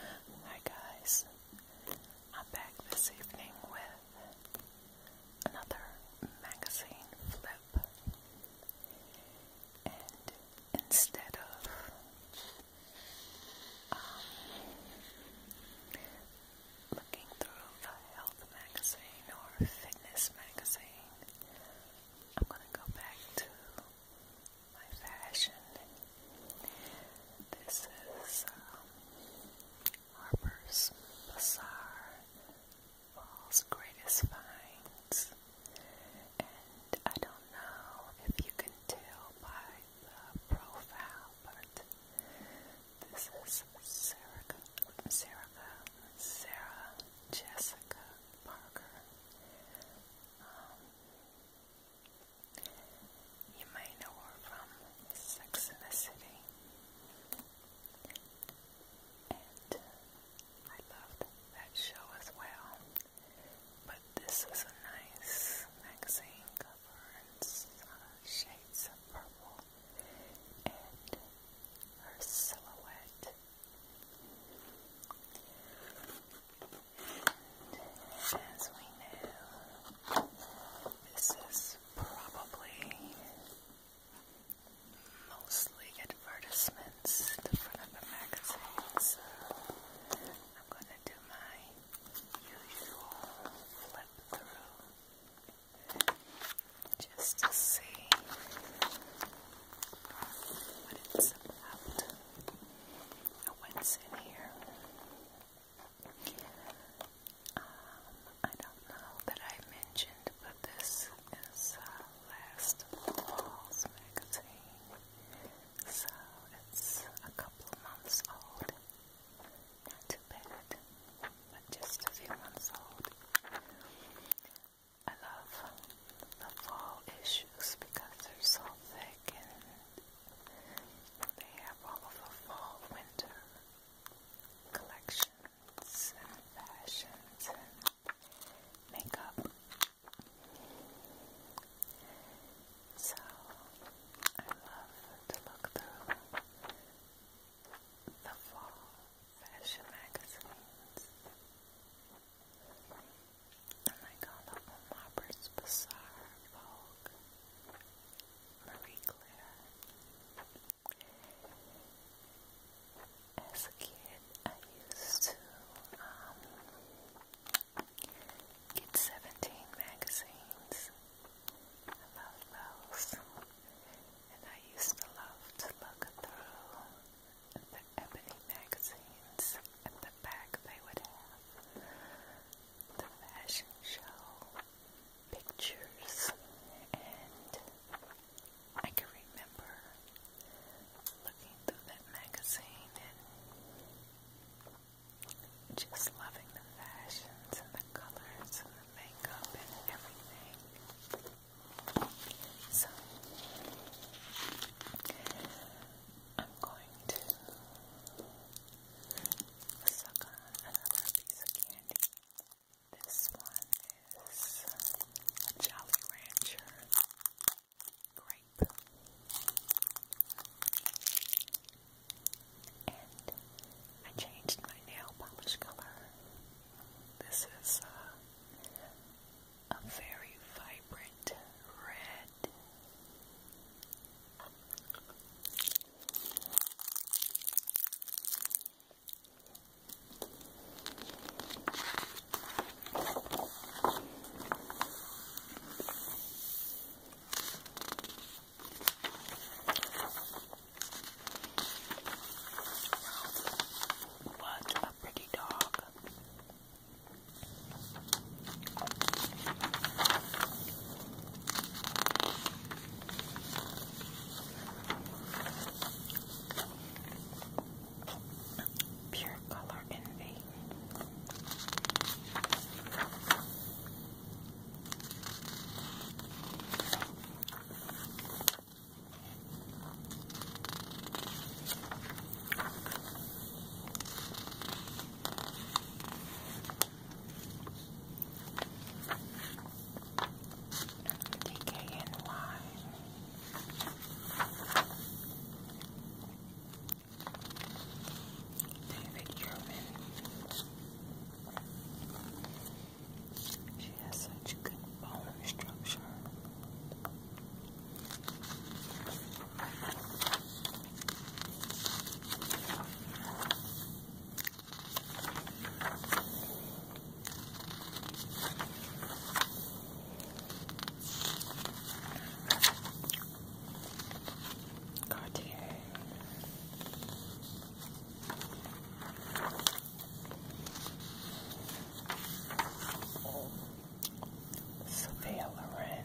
Hi guys, I'm back this evening with another magazine flip, and instead of um, looking through the health magazine or fitness magazine, I'm going to go back to my fashion. This is um, Harper's Bazaar, Fall's Greatest Finds. And I don't know if you can tell by the profile, but this is Sarah, Sarah, Sarah Jessica Parker. Um, you may know her from Sex and the City. And I loved that show as well. But this is a nice magazine cover shades of purple. And her silhouette. As we know, this is probably mostly advertisements at the front of the magazine, I'm going to do my usual flip through just to see what it's about. What's in here? Um, I don't know that I mentioned, but this is uh, Last Falls magazine, so it's a couple of months old. Not too bad, but just a few months old. I love the fall issues because they're so thick and they have all the fall, winter collections and fashions and makeup. So I love to look through the fall fashion magazines and I got that from Robert's Bazaar, Vogue, Marie Claire. As a kid, I used to um, get 17 magazines about those, and I used to love to look through the Ebony magazines and the the back they would have the fashion show pictures, and I can remember looking through that magazine and just loving the fashions and the colors and the makeup and everything. So, I'm going to suck on another piece of candy. This one is a Jolly Rancher grape. And I changed my nail polish color. This is uh, a very vibrant red what a pretty dog. Pure color envy. DK David German. She has such good bone structure. Cartier. Sophia Loren.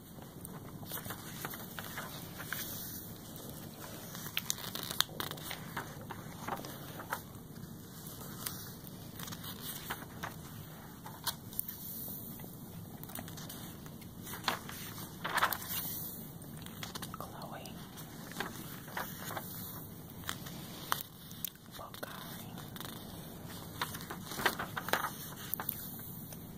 Chloe, Bulgari,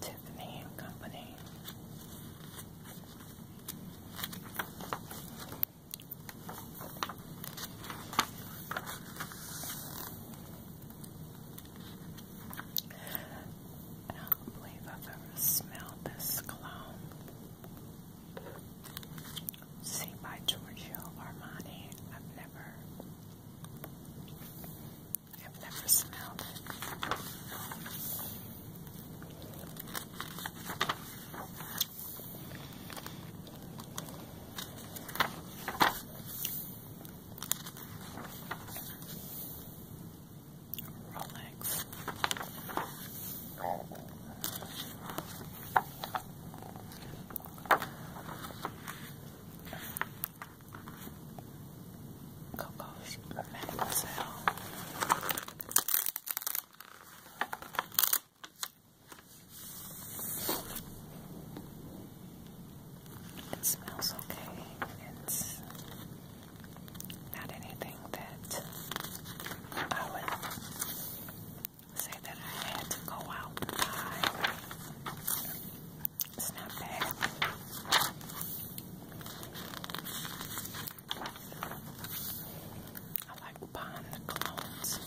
Tiffany and Company. I don't believe I've ever smelled this cologne. See by Giorgio Armani. I've never, I've never smelled Rolex. Coco's Mademoiselle. It smells okay. It's not anything that I would say that I had to go out and buy it's I like buying the clones.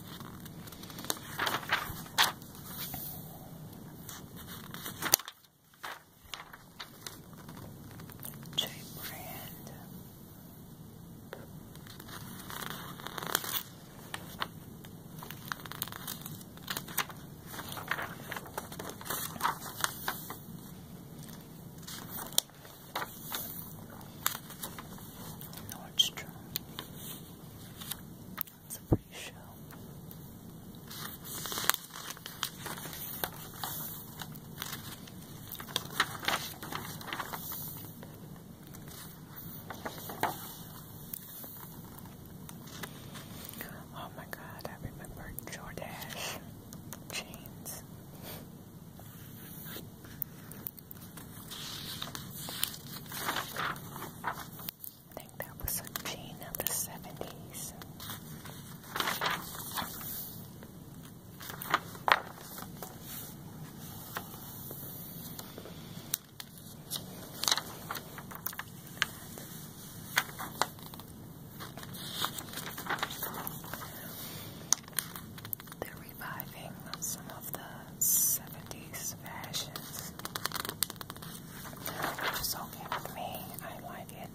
J brand. Nordstrom. That's a pretty show. Oh my god, I remember Jordache jeans. I think that was a jean of the 70s. They're reviving some of the 70s fashions. It's okay with me. I like it.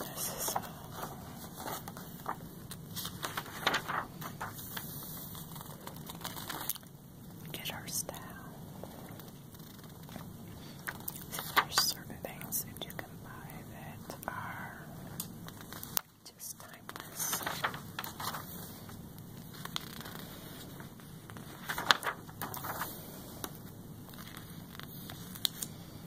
This is uh, Get our style. There's certain things that you can buy that are just timeless.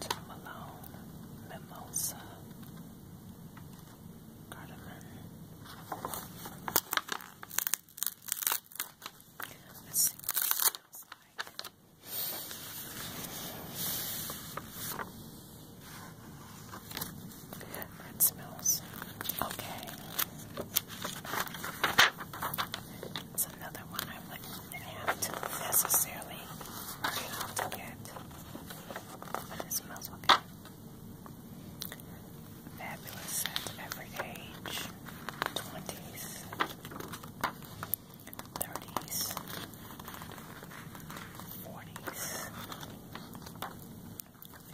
Tom Malone, Mimosa, Cardamom. Let's see what it smells like. That smells okay. It's another one I like I don't necessarily burn it to get, but it smells okay. Fabulous scent, every age, 20s, 30s, 40s,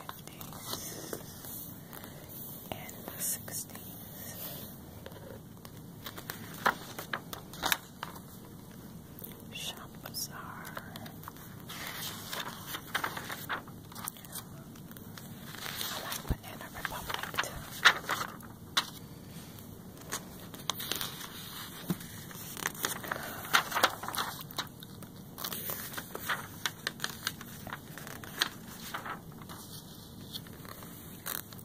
50s, and 60s. Shop Bazaar. I like Banana Republic so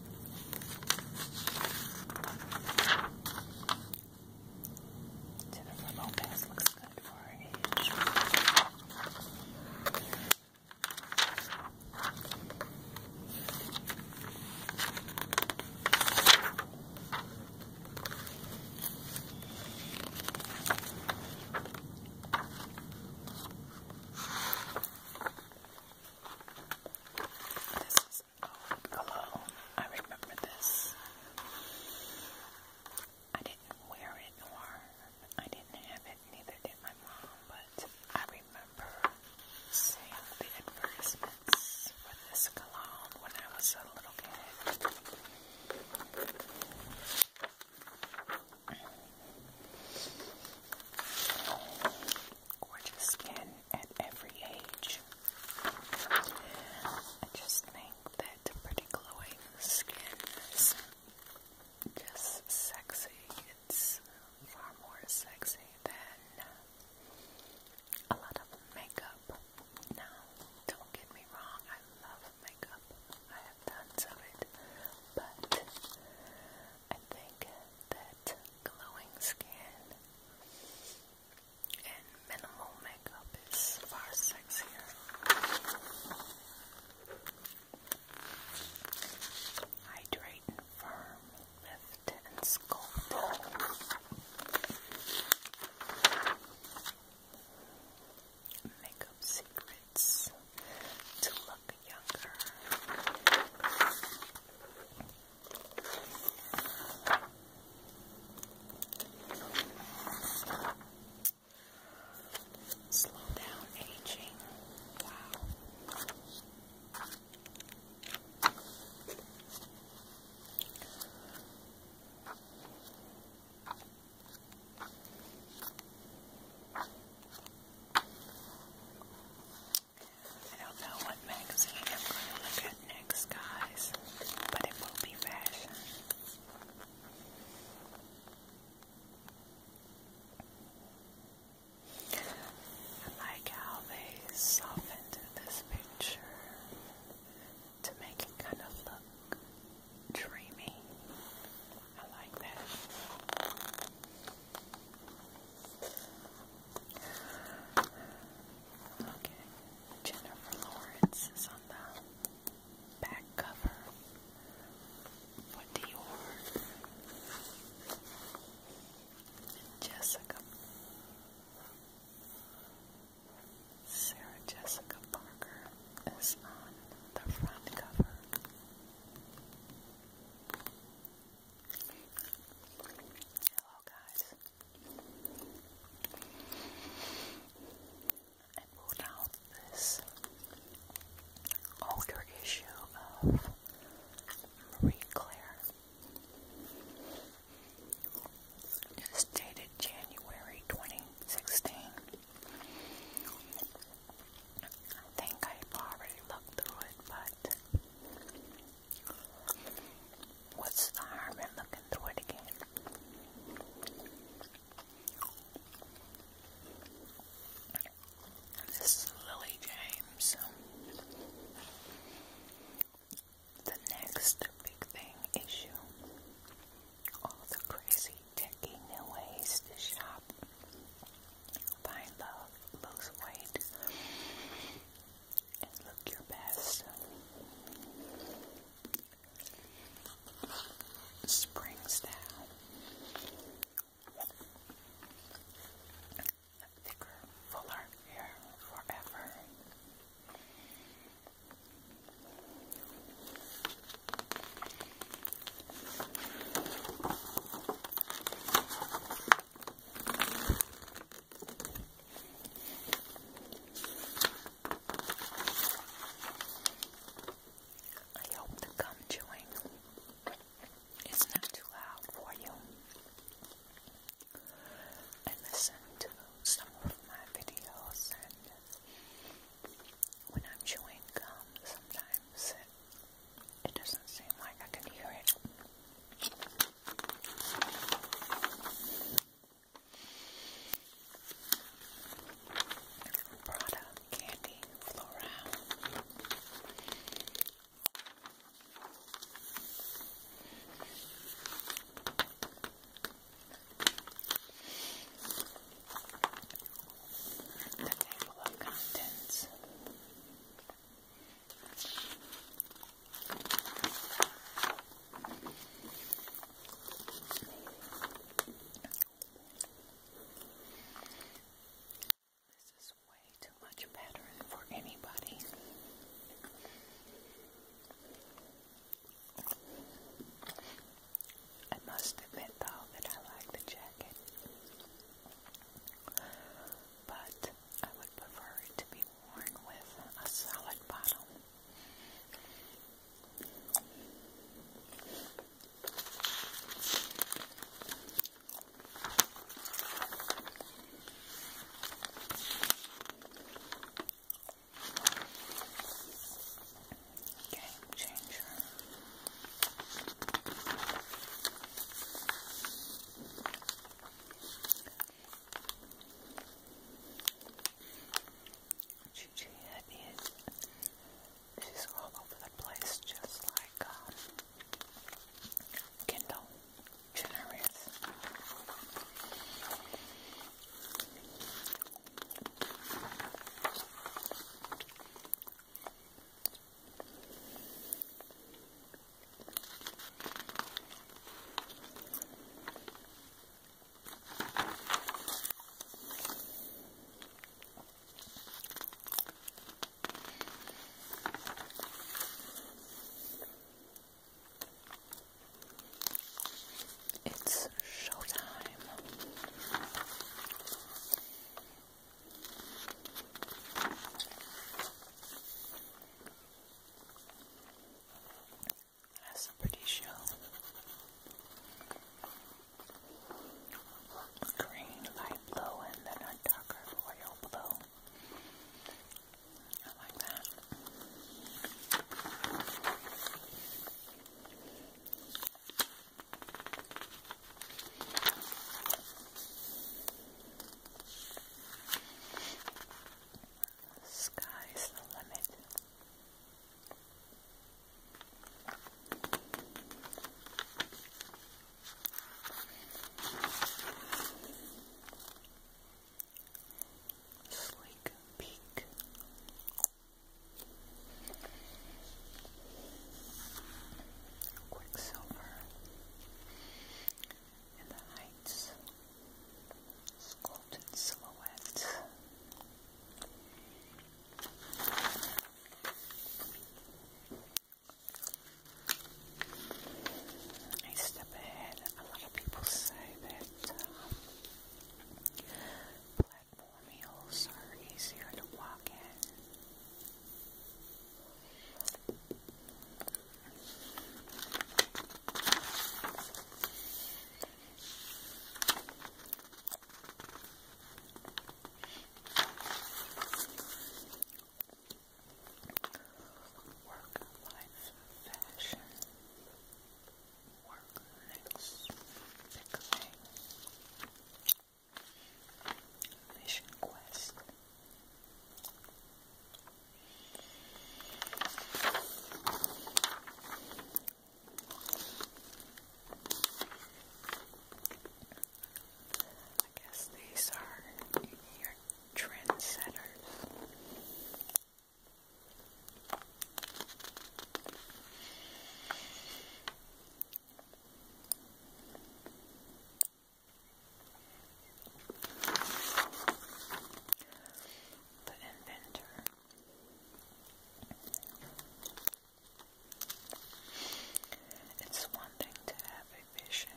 the thermal paste looks good for our age. This is oh, hello. I remember this. I didn't wear it or I didn't have it, neither did my mom, but I remember seeing the advertisements for this cologne when I was a little kid gorgeous skin at every age. I just think that pretty glowing skin is just sexy. It's far more sexy than a lot of makeup. Now, don't get me wrong, I love makeup. I have tons of it. But I think that glowing skin, and minimal makeup is far sexier. Hydrate and firm, lift and sculpt. Makeup secrets to look younger. Slow down aging. Wow. I don't know what magazine I'm going to look at next, guys, but it will be fashion. I like how they softened this picture to make it kind of look dreamy. I like that. Okay, Jennifer Lawrence is on the back cover for Dior. Jessica, Sarah Jessica Parker is on the front cover. Hello, oh, guys. I pulled out this older issue of Marie Claire. It's dated January 2016. think I already looked through it, but What's the harm in looking through it again? This is Lily James. The next big thing issue. All the crazy, techie new ways to shop. Find love, lose weight, and look your best. Spring style. Thicker, fuller hair forever. I hope the gum chewing is not too loud for you. I listen to some of my videos and when I'm chewing gum sometimes it, doesn't seem like I can hear it. Prada Candy Floral. The table of contents. This is way too much better for anybody. I must admit, though, that I like the jacket, but I would prefer it to be worn with a solid bottom. Game changer. Gigi Head she's all over the place, just like um, Jenner is. It's showtime. That's a pretty show. Green light blue and then a darker royal blue. I like that sky's the limit. Sleek peak. Quicksilver in the heights sculpted silhouette. I step ahead. A lot of people say that um, are easier to walk in. Work life fashion. Work mix pickling. Vision quest. I guess these are your trendsetters. The inventor. It's one thing to have a vision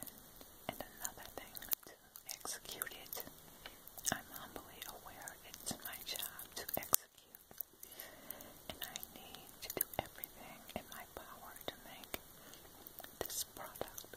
and another thing to execute it. I'm humbly aware it's my job to execute, and I need to do everything in my power to make this product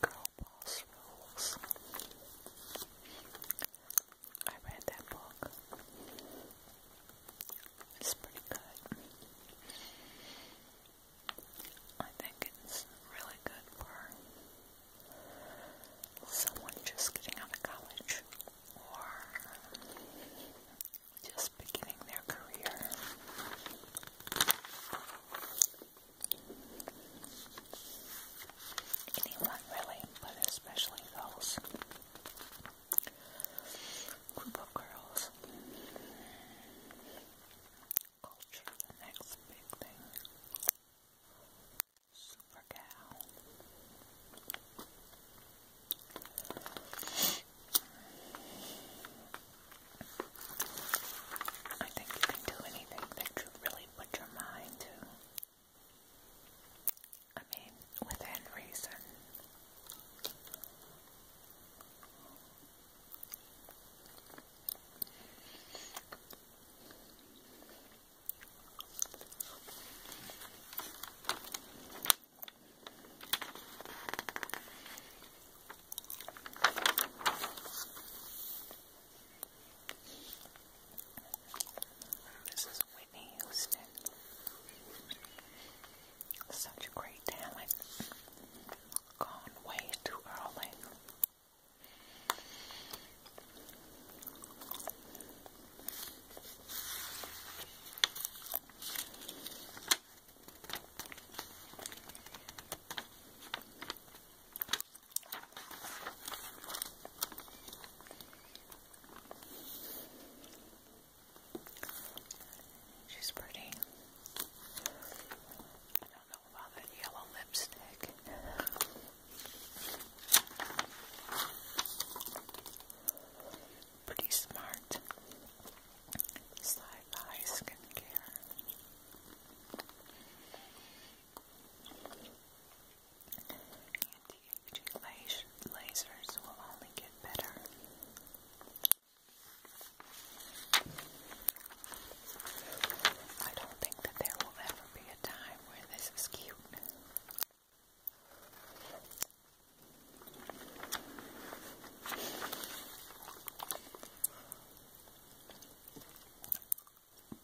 Girl Rules. I read that book. It's pretty good. I think it's really good for someone just getting out of college or just beginning their career. Anyone really, but especially those group of girls. Culture, next big thing. Super cow. I think you can do anything you really put your mind to. I mean, within reason. This is Whitney Houston. Such a great talent. Gone way too early. She's pretty. I don't know about that yellow lipstick. Pretty smart. Side by skincare. Anti-aging lasers will only get better. I don't think that there will ever be a time where this is cute.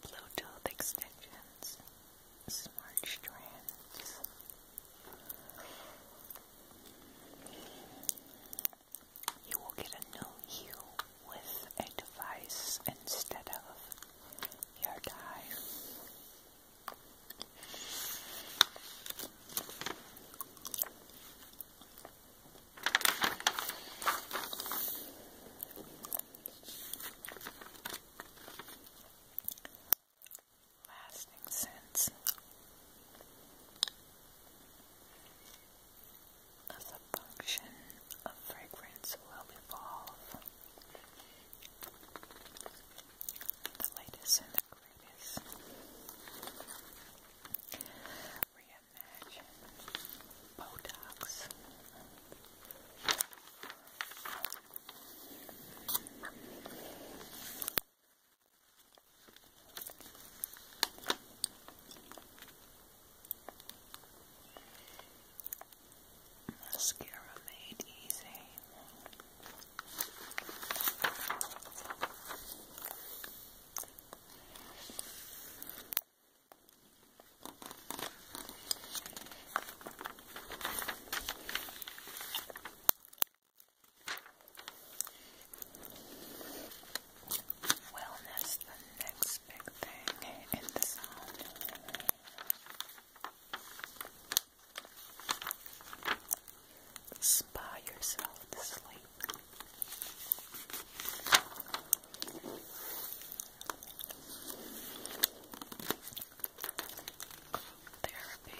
Bluetooth extensions, smart strands. You will get a new hue with a instead of your dye. Lasting scents a function of fragrance will evolve. The latest and the greatest. Botox. Mascara made easy. Well, that's the next big thing in the sound. Spa yourself to sleep. Therapy.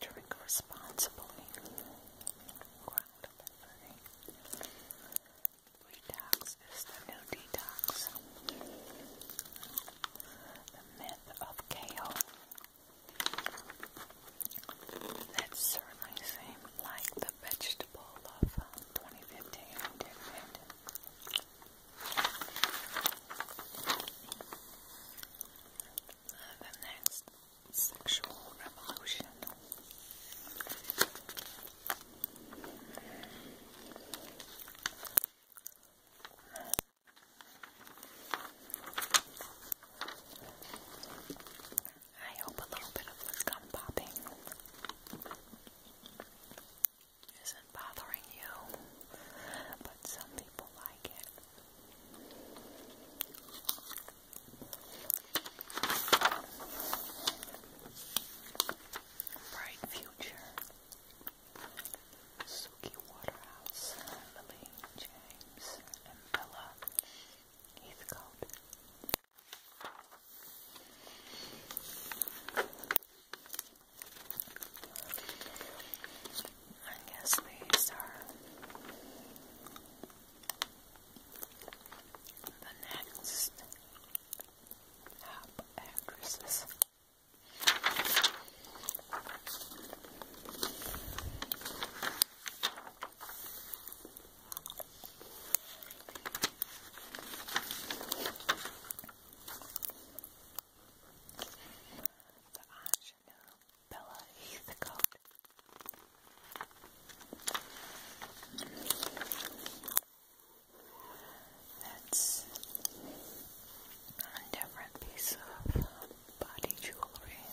Drink responsibly. Detox is the new detox. The myth of kale that's certainly seemed like the vegetable of uh, 2015, did the next sexual revolution. I hope a little bit of gum popping isn't bothering you, but some people like it. Bright future. Suki Waterhouse, Emily, James, and Bella Heathcote. I guess these are the next app actresses. The Ingenue Bella Heathcote. That's a different piece of body jewelry. Red,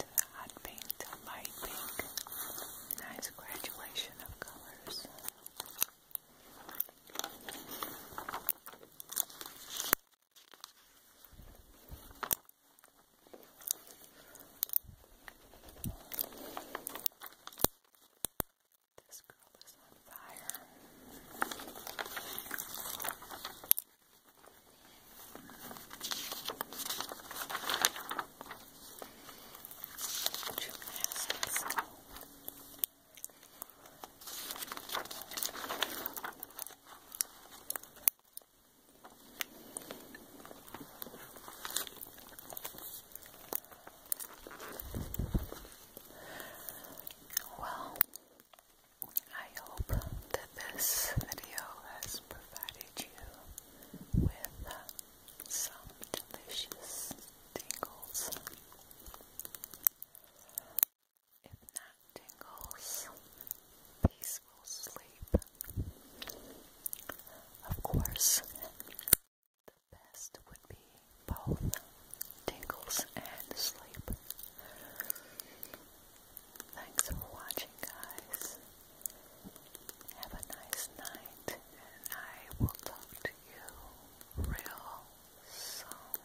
new hot pink, light pink. Nice graduation of colors. This girl is on fire. Well, I hope that this video has provided you with some delicious tingles. If not tingles, peace of course, the best would be both tingles and sleep. Thanks for watching, guys. Have a nice night, and I will talk to you real soon.